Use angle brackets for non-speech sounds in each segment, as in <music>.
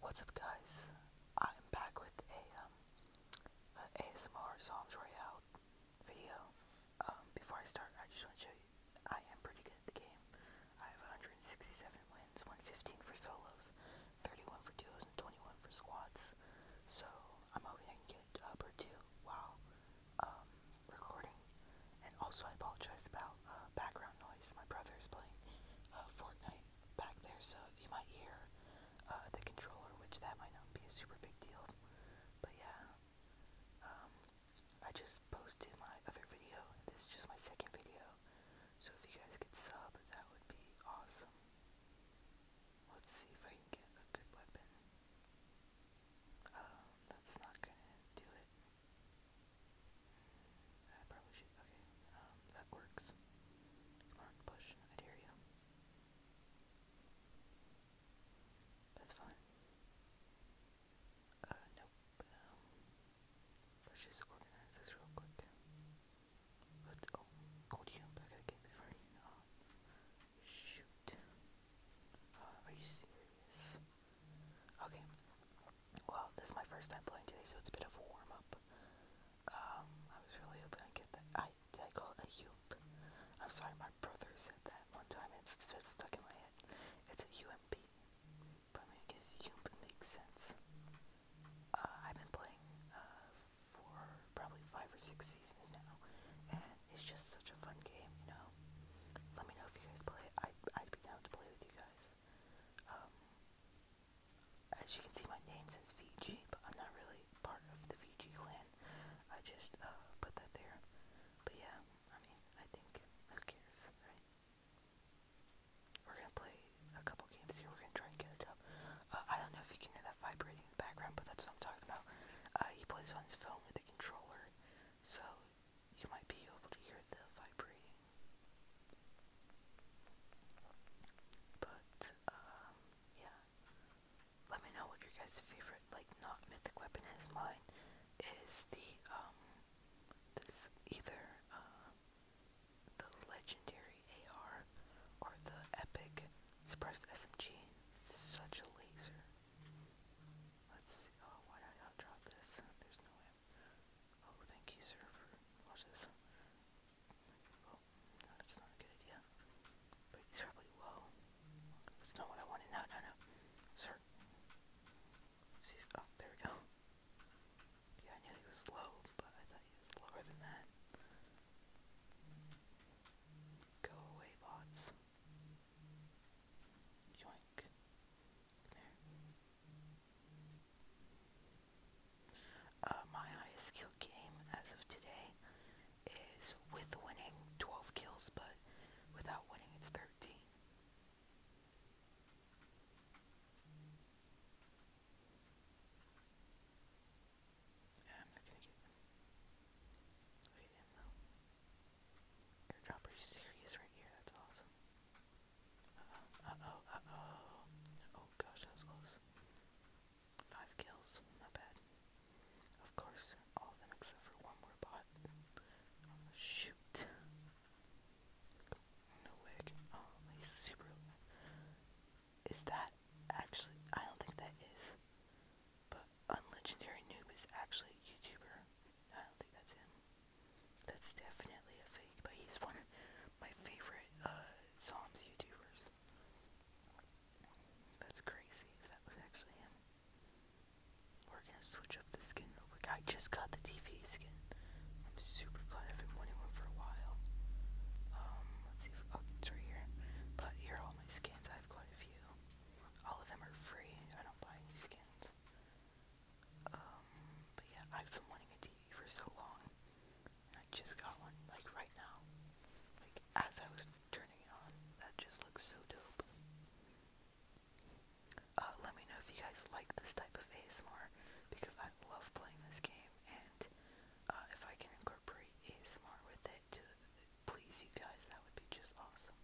What's up guys, I'm back with a, um, ASMR Psalms Royale video. Um, before I start, I just want to show you, I am pretty good at the game. I have 167 wins, 115 for solos, 31 for duos, and 21 for squads. So, I'm hoping I can get up or two while, um, recording. And also, I apologize about, uh, background noise. My brother is playing, uh, Fortnite back there, so you might hear uh, the controller, which that might not be a super big deal. But yeah, um, I just posted my other video, this is just my second video. So if you guys could sub, that would be awesome. Let's see if I can get a good weapon. Uh, that's not gonna do it. I probably should. Okay, um, that works. push. I dare you. That's fine. Uh, nope. Um, let's just organize this real quick. let Oh, hold you. I got before you. Oh, shoot. Uh, are you serious? Okay well, this is my first time playing today, so it's a bit of a warm up. Um, I was really hoping I'd get that. I did I call it a yoop? I'm sorry, my brother said that one time. It's just stuck in my head. It's a UMP, but I, mean, I guess yoop makes sense. Uh, I've been playing uh, for probably five or six seasons now, and it's just such a fun game, you know. Let me know if you guys play. I I'd be down to play with you guys. Um, as you can see, my name says Fiji, but I'm not really part of the Fiji clan. I just uh, put that there. But yeah, I mean, I think who cares, right? We're gonna play a couple games here. We're gonna try and get it up. Uh, I don't know if you can hear that vibrating in the background, but that's what I'm talking about. Uh, he plays on his phone with a controller, so you might be able to hear the vibrating but, um, yeah. Let me know what your guys' favorite, like, not mythic weapon is. Mine is the, um, this either, uh, the legendary AR or the epic suppressed SMG. such a laser. Let's Oh, why did I drop this? There's no way Oh, thank you, sir, for watching this. that's not a good idea. But he's probably low. That's not what I wanted. No, no, no. Sir. Let's see oh, there we go. Yeah, I knew he was low, but I thought he was lower than that. Go away, bots. Yoink. Come here. Uh, my highest skill game as of today is with winning 12 kills, but without winning it's 13. Yeah, i right here, that's awesome. Uh-oh, uh-oh, oh gosh, that was close. Five kills, not bad. Of course, all of them except for one more bot. shoot. No way. Oh, he's super. Is that actually? I don't think that is. But unlegendary noob is actually a YouTuber. I don't think that's him. That's definitely a fake, but he's one of my favorite uh, Psalms YouTubers. That's crazy if that was actually him. We're gonna switch up the skin I just got the TV skin. I'm super glad I've been wanting one for a while. Um, let's see if oh, it's right here. But here are all my skins. I have quite a few. All of them are free. I don't buy any skins. Um, but yeah, I've been wanting a TV for so long. I just got one, like right now. Like as I was turning it on. That just looks so dope. Uh, let me know if you guys like this type of ASMR because I love playing this game and uh, if I can incorporate ASMR with it please you guys, that would be just awesome.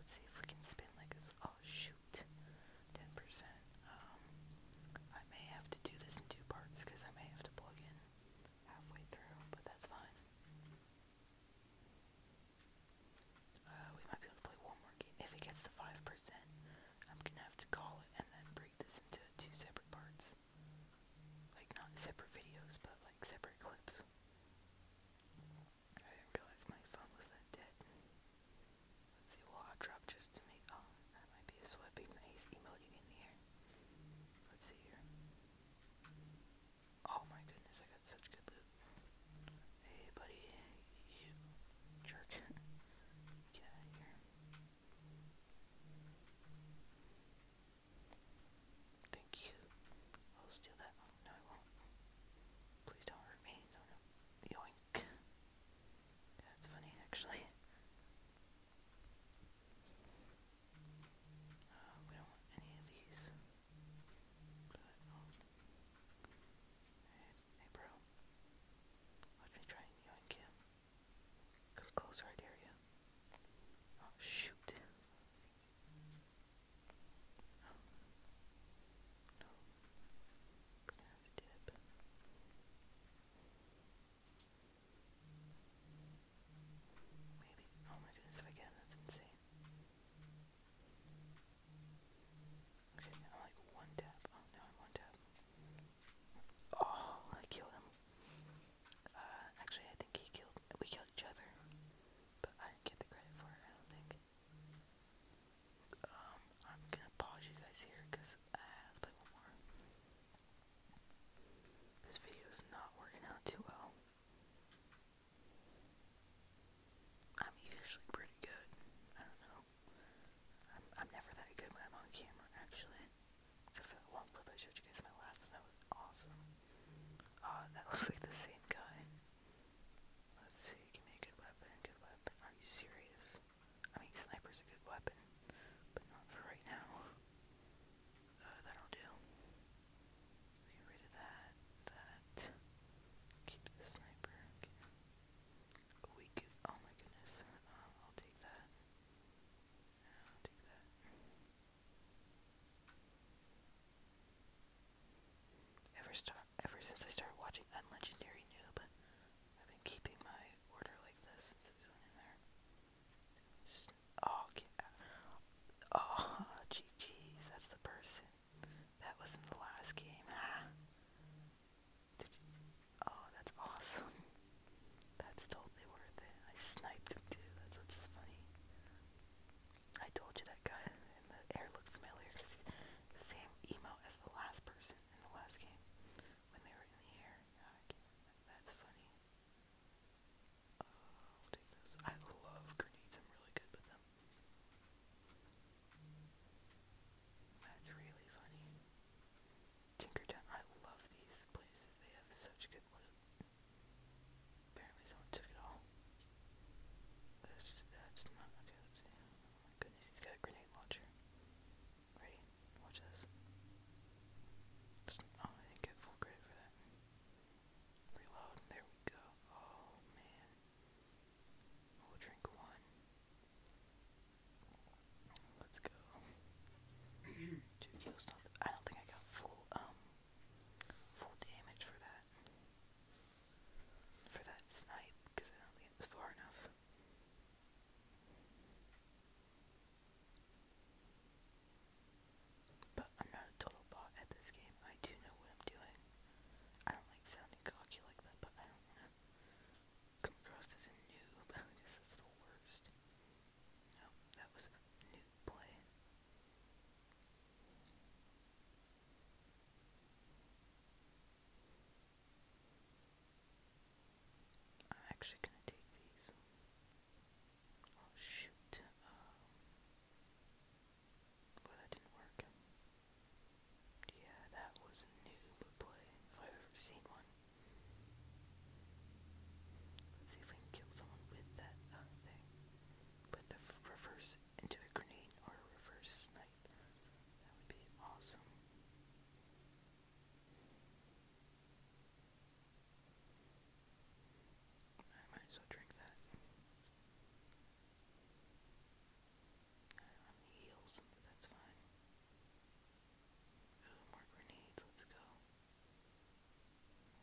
Let's see if we can spin like this. Oh shoot. 10%. Um, I may have to do this in two parts because I may have to plug in halfway through, but that's fine. Uh, we might be able to play one If it gets to 5%, I'm gonna have to call it and then break this into two separate parts. Like, not separate videos, but like separate clips. I didn't realize my phone was that dead. Let's see, we'll drop just to make. Oh, that might be a swiping. beam that he's emoting in the air. Let's see here. Oh my goodness, I got such good loot. Hey, buddy, jerk. <laughs> Get out of here. Thank you. I'll steal that. Oh, no, I won't. Please don't hurt me. No, no. That's funny, actually. Uh, we don't want any of these. hey, bro. Watch me try and yoink Come closer, I dare you. Oh, shoot. No. We're have to dip. Maybe. Oh my goodness, if I can, that's insane. Okay, I'm like one tap. Oh, now one tap. Oh, I killed him. Uh, actually, I think he killed. We killed each other. But I get the credit for it, I don't think. Um, I'm gonna pause you guys here because let's play one more. This video is not working out too well. I'm usually pretty good. I don't know. I'm, I'm never that good when I'm on camera, actually. Except one clip I showed you guys my last one. That was awesome. Uh, that <laughs> looks like the same guy. Let's see. Give me a good weapon. Good weapon. Are you serious? I mean, sniper's a good weapon, but not for right now. Uh, that'll do. Get rid of that, that. Keep the sniper. We could, oh my goodness. Uh, I'll take that. I'll take that. Ever, star ever since I started watching Unlegendary Noob, I've been keeping my order like this since it went in there. oh, oh, GG's, that's the person. That was in the last game. <sighs> oh, that's awesome. That's totally worth it. I sniped him too. That's what's funny. I told you that guy in the air looked familiar. Cause same emo as the last person in the last game when they were in the air. That's funny. Oh, i love grenades. I'm really good with them. That's really funny. Tinkertown. I love these places. They have such good loot. Apparently someone took it all. That's, that's okay, let's see. Oh my goodness, he's got a grenade launcher. Ready? Watch this. oh, I didn't get full credit for that. Reload. There we go. Oh, man. We'll drink one. Let's go. Two <clears throat> kills. I don't think I got full, um, full damage for that. For that snipe, because I do far enough. But I'm not a total bot at this game. I do know what I'm doing. I don't like sounding cocky like that, but I come across as a noob. <laughs> I guess that's the worst. No, that was noob play. I'm actually gonna take these. Oh shoot. Um, well, that didn't work. Yeah, that was a noob play I've ever seen one. Let's see if we can kill someone with that uh, thing. Put the reverse into a grenade or a reverse snipe. That would be awesome. I might as well drink that. on the heels, but that's fine. more grenades, let's go.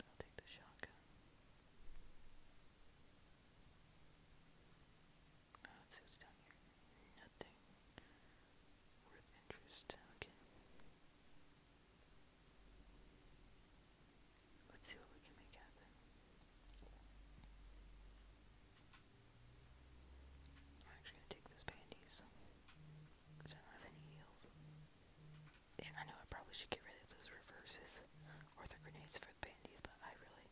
I'll take the shotgun. Oh, let down here nothing worth interest. Okay. Let's see what we can make happen. I'm actually gonna take those panties because I don't have any heels. And I know I probably should get rid of those reverses or the grenades for the panties, but I really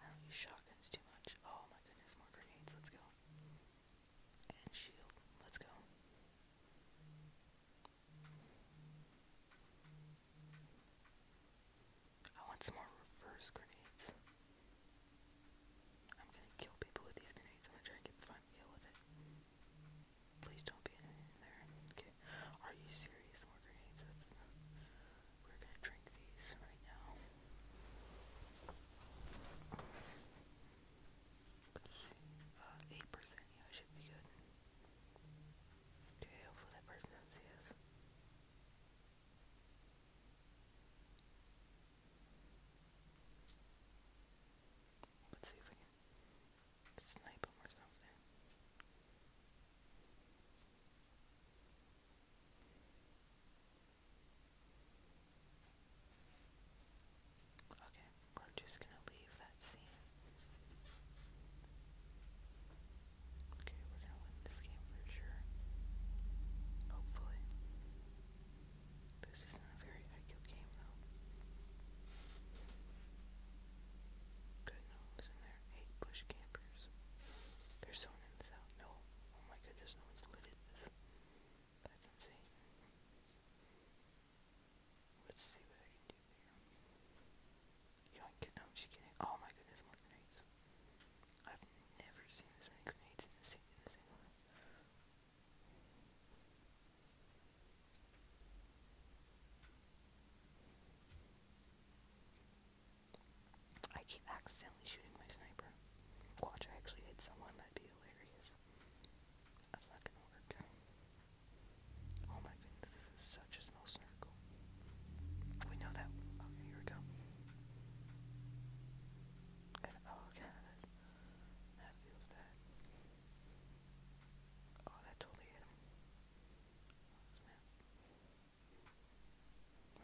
I don't use shotguns too much. Oh my goodness, more grenades, let's go and shield. Let's go. I want some more reverse grenades. I'm gonna kill people with these grenades. I'm gonna try and get the final kill with it. Please don't be in there. Okay. Are you serious? More grenades? We're gonna drink these right now. 8%. Uh, yeah, I should be good. Okay, hopefully that person does see us. Let's see if I can snipe him or something. Okay, we're just gonna leave that scene. Okay, we're gonna win this game for sure. Hopefully. This isn't a very IQ game though. Good, no in there. Eight bush campers. There's someone in the south. No. Oh my goodness, no one's lit at this. That's insane. Let's see what I can do there. Yoink, no, she oh my goodness, more grenades. I've never seen this many grenades in the same in the same one. I keep accidentally shooting my sniper. Watch, I actually hit someone. That'd be that's not gonna work. Oh my goodness, this is such a small circle. We know that. Okay, oh, here we go. And oh god, that feels bad. Oh, that totally hit him. Oh,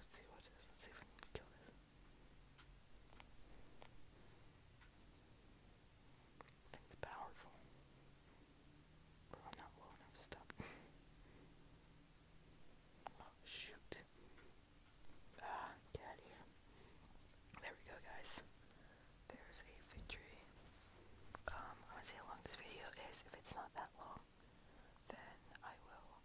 Let's see what it is. Let's see if we can kill this. Thing's powerful. Bro, I'm not low enough stuff. <laughs> Oh, shoot. Ah, get out here. There we go, guys. There's a victory. Um, I want to see how long this video is. If it's not that long, then I will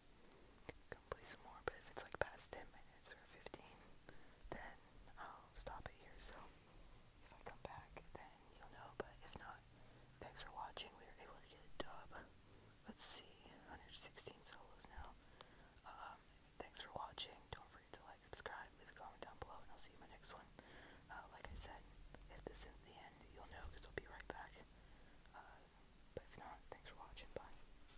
play some more, but if it's like past 10 minutes or 15, then I'll stop it here. So if I come back, then you'll know, but if not, thanks for watching. We were able to get a dub. Let's see, 116 solos now. Um, thanks for watching. Don't forget to like, subscribe, leave a comment down below, and I'll see you in my next one. Uh, like I said, if this is the end, you'll know because I'll be right back. Uh, but if not, thanks for watching. Bye.